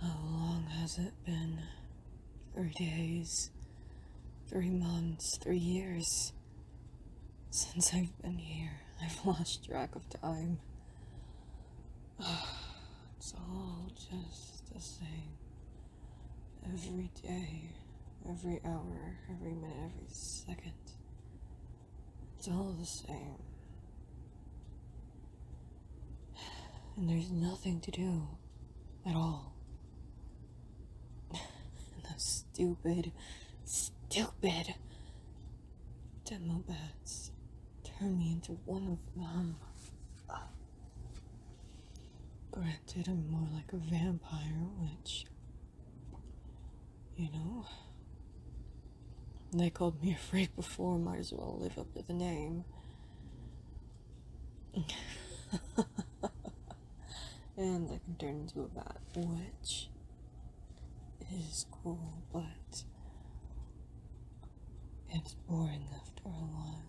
How long has it been? Three days, three months, three years since I've been here. I've lost track of time. It's all just the same. Every day, every hour, every minute, every second. It's all the same. And there's nothing to do at all. and those stupid, stupid demo bats turn me into one of them. Granted, I'm more like a vampire, witch. You know? They called me a freak before, might as well live up to the name. and I can turn into a bat, which is cool, but it's boring after a while.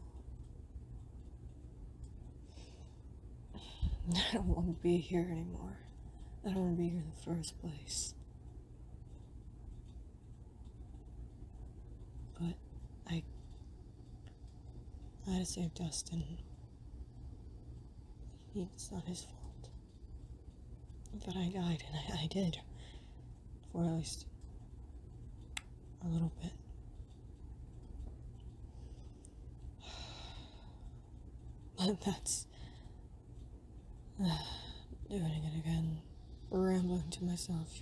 I don't want to be here anymore. I don't want to be here in the first place. But I, had to save Dustin. it's not his fault. But I died, and I did. For at least a little bit. But that's. doing it again. Rambling to myself.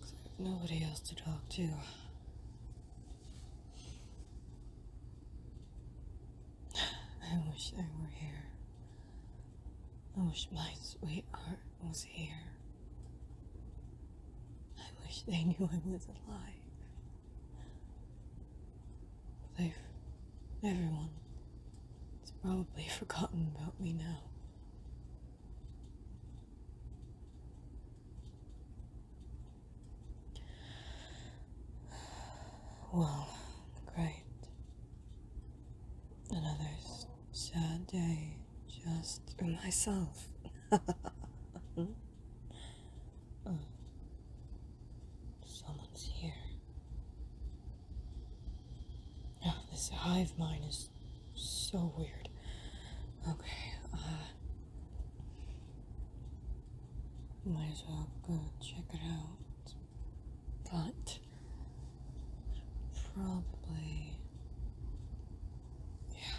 Cause I have nobody else to talk to. I wish they were here. I wish my sweetheart was here. I wish they knew I was alive. They've. everyone. It's probably forgotten about me now. Well, great. Another sad day just for myself. Oh, someone's here. Oh, this hive mind is so weird. Okay, uh, might as well go check it out. But probably,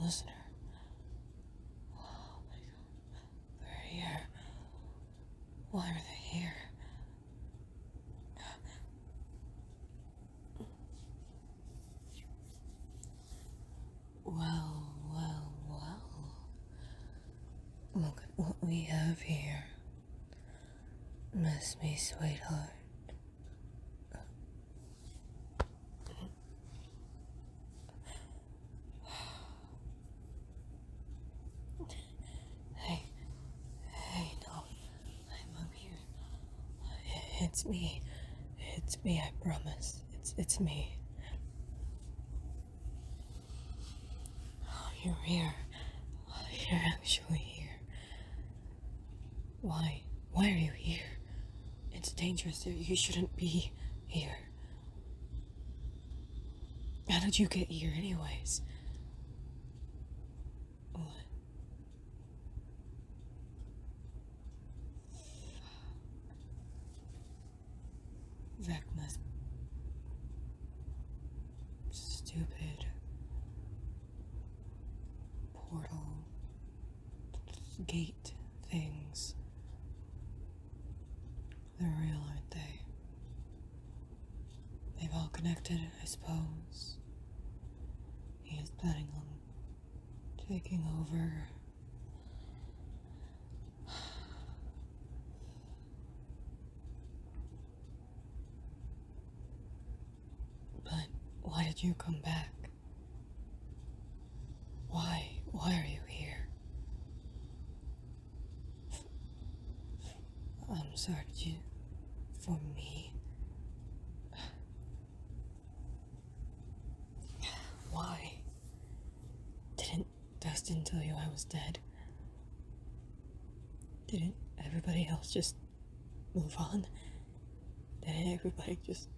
Listener. They're here. Why are they here? Well, well, well. Look at what we have here. Miss me, sweetheart. Hey, hey, no, I'm up here. It's me. It's me, I promise. It's, it's me. Oh, you're here. Oh, you're actually here. Why? Why are you here? It's dangerous. You shouldn't be here. How did you get here, anyways? reckless, stupid portal gate things. They're real, aren't they? They've all connected, I suppose. He is planning on taking over but why did you come back? Why? Why are you here? I'm sorry, you, for me. Why didn't wasn't destined you, I was dead. Didn't everybody else just move on? Didn't everybody just.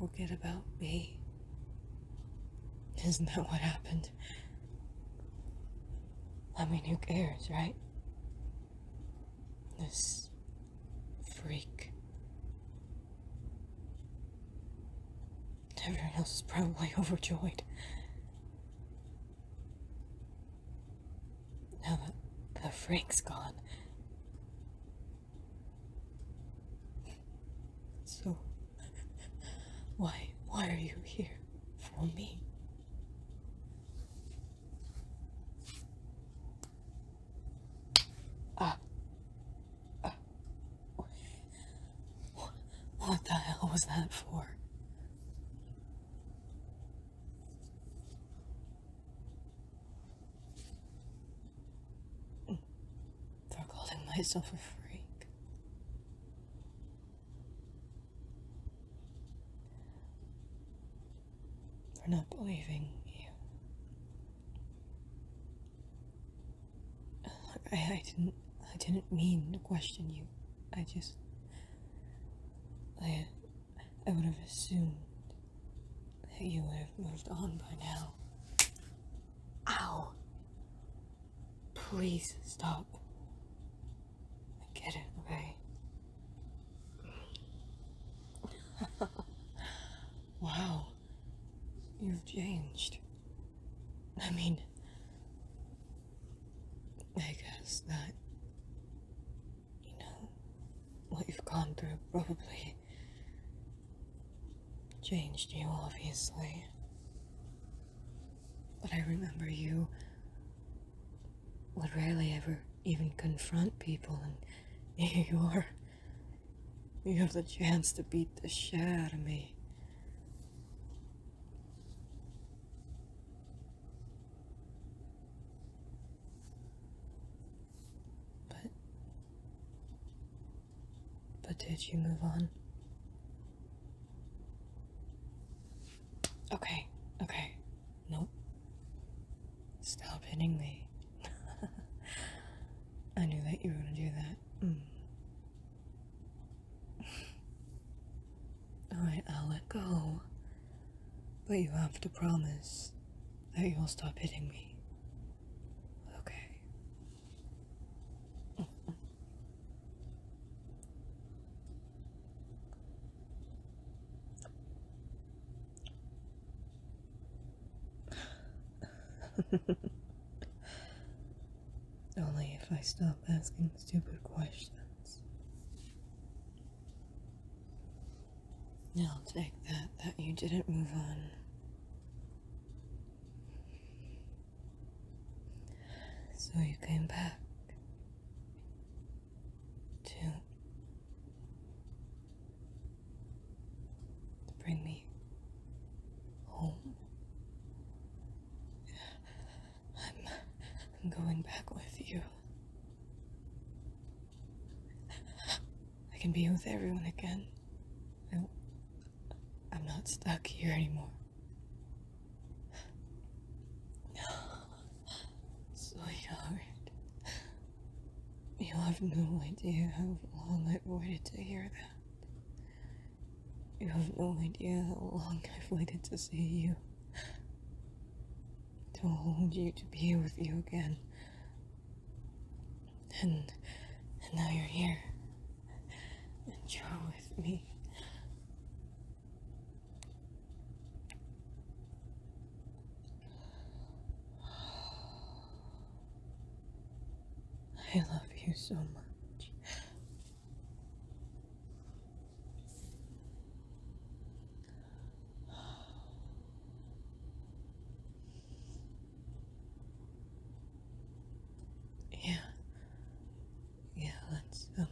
forget about me. Isn't that what happened? I mean, who cares, right? This freak. Everyone else is probably overjoyed. Now that the freak's gone. So, why, why are you here for me? Ah. ah. What the hell was that for? For calling myself a freak for not believing you. I, I didn't I didn't mean to question you. I just I I would have assumed that you would have moved on by now. Ow. Please stop. I get it, okay? wow. You've changed. I mean, I guess that, you know, what you've gone through probably changed you, obviously. But I remember you would rarely ever even confront people, and you are. You have the chance to beat the shit out of me. But. But did you move on? Okay, okay. Nope. Stop hitting me. I knew that you were going to do that. Mm. Alright, I'll let go. But you have to promise that you will stop hitting me. Okay. Only if I stop asking stupid questions. I'll take that, that you didn't move on. So you came back to bring me home. I'm, I'm going back with you. I can be with everyone again. I, I'm not stuck here anymore. Sweetheart, you have no idea how long I've waited to hear that. You have no idea how long I've waited to see you. To hold you, to be with you again. And, and now you're here. And you're with me. I love you so much. Yeah, yeah, let's um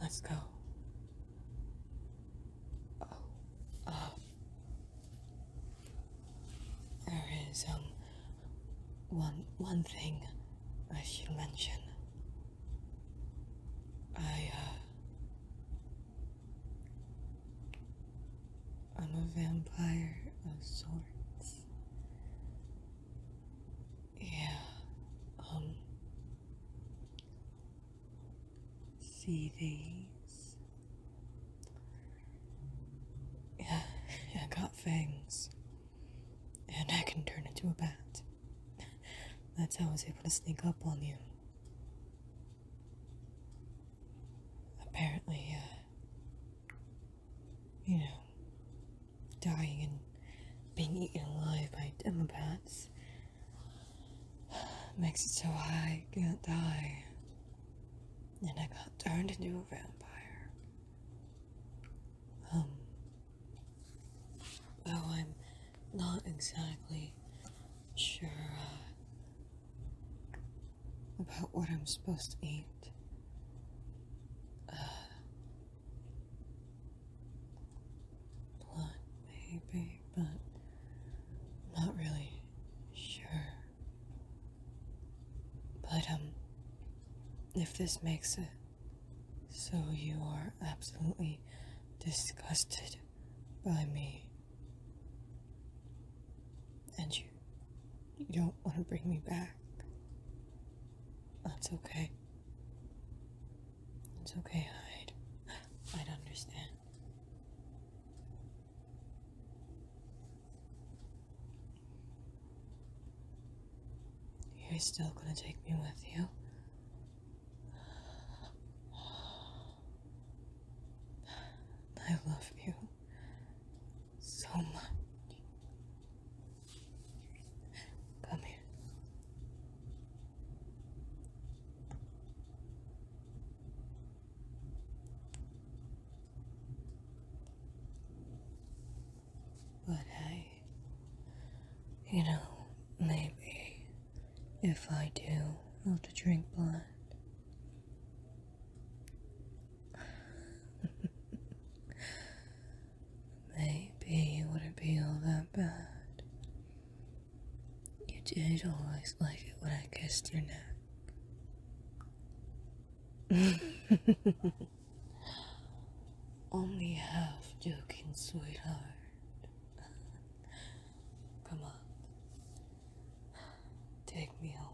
let's go. Oh um there is um one one thing I should mention. I uh, I'm a vampire of sorts. Yeah. Um, see these? Yeah, I got fangs. And I can turn into a bat. That's how I was able to sneak up on you. Apparently, uh, you know, dying and being eaten alive by demobats makes it so I can't die. And I got turned into a vampire. Um, though I'm not exactly sure uh, about what I'm supposed to eat. Uh, blood, maybe, but not really sure. But, um, if this makes it so you are absolutely disgusted by me, and you you don't want to bring me back. That's okay. It's okay, Hyde. i understand. You're still gonna take me with you? I love you so much. Come here. But hey, you know, maybe if I do, I'll have to drink blood. Maybe it wouldn't be all that bad. You did always like it when I kissed your neck. Only half joking, sweetheart. Come on. Take me home.